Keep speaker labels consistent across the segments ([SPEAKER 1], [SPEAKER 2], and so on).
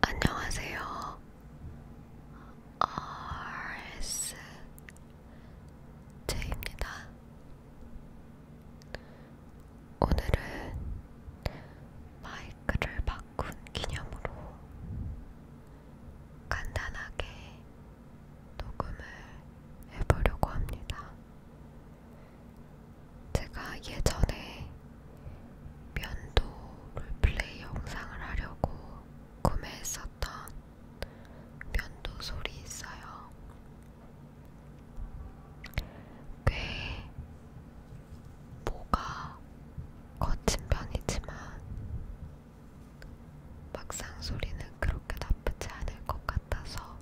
[SPEAKER 1] 안녕하세요. RSJ입니다. 오늘은 마이크를 바꾼 기념으로 간단하게 녹음을 해보려고 합니다. 제가 예전에 면도 롤플레이 영상을 하려고 구매했었던 면도 솔이 있어요. 꽤 뭐가 거친 편이지만 막상 소리는 그렇게 나쁘지 않을 것 같아서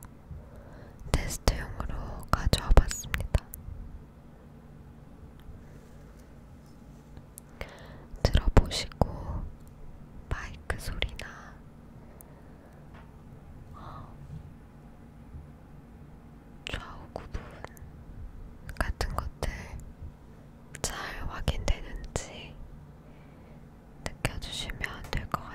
[SPEAKER 1] 테스트용으로 가져와 봤습니다. 들어보시고 마이크 소리나 좌우 구분 같은 것들 잘 확인되는지 느껴주시면 될 것 같아요.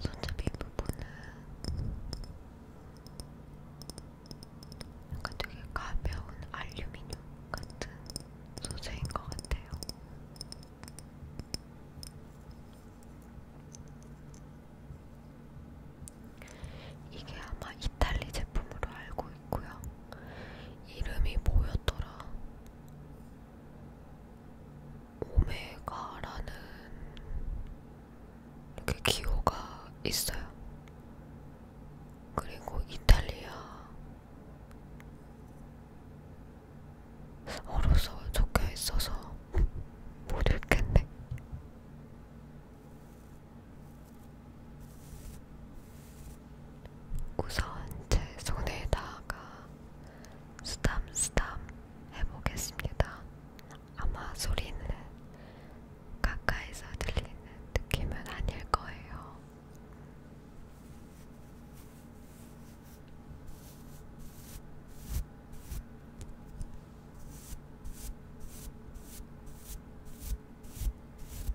[SPEAKER 1] 손잡이 부분은 약간 되게 가벼운 알루미늄 같은 소재인 것 같아요. 이게 아마 이탈리 제품으로 알고 있고요. 이름이 뭐였더라? 오메가라는 이렇게 기호가 있어요. 그리고 이탈리아 어로서 적혀 있어서 못 읽겠네. 우선 제 손에다가 스담스담 해보겠습니다. 아마 소리는 가까이서 들리는 느낌은 아닐 거예요.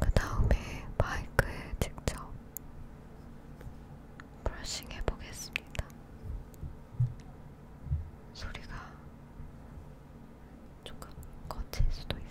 [SPEAKER 1] 그 다음에 마이크에 직접 브러싱 해보겠습니다. 소리가 조금 거칠 수도 있어요.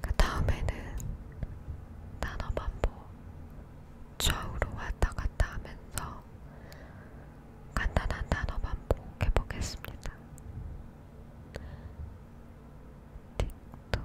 [SPEAKER 1] 그 다음에는 단어 반복 좌우로 왔다 갔다 하면서 간단한 단어 반복해 보겠습니다. 틱톡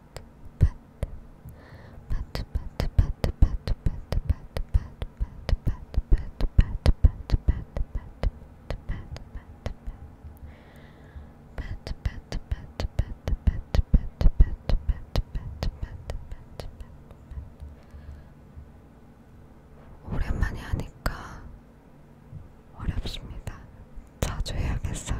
[SPEAKER 1] pat, pat, pat, pat, pat, pat, pat, pat, pat, 오랜만에 하니까 어렵습니다. 자주 해야겠어요.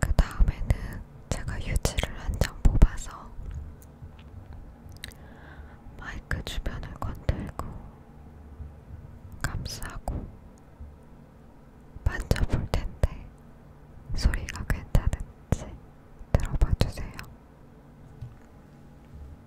[SPEAKER 1] 그 다음에는 제가 유지를 한 장 뽑아서 마이크 주변을 건들고 감싸고 만져볼 텐데 소리가 괜찮은지 들어봐 주세요.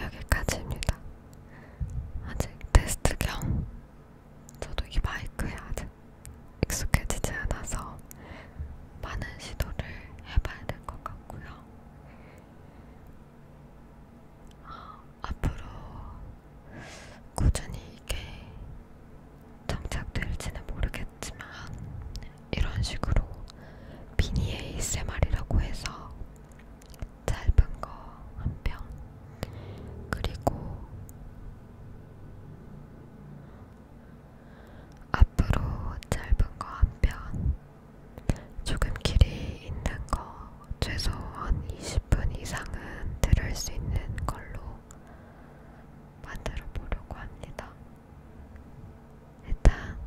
[SPEAKER 1] 여기까지입니다. 아직 테스트 겸 저도 이 마이크에 아직 익숙해지지 않아서 많은 시도를 해봐야 될 것 같고요. 앞으로 꾸준히 이게 정착될지는 모르겠지만 이런 식으로 미니 ASMR이라고 해서 짧은 거한편 그리고 앞으로 짧은 거한편 조금 길이 있는 거 최소한 20분 이상은 들을 수 있는 걸로 만들어 보려고 합니다. 일단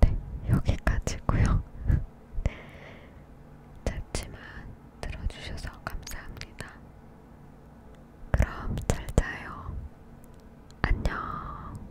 [SPEAKER 1] 네, 여기까지고요. 짧지만 들어주셔서 감사합니다. 그럼 잘 자요. 안녕.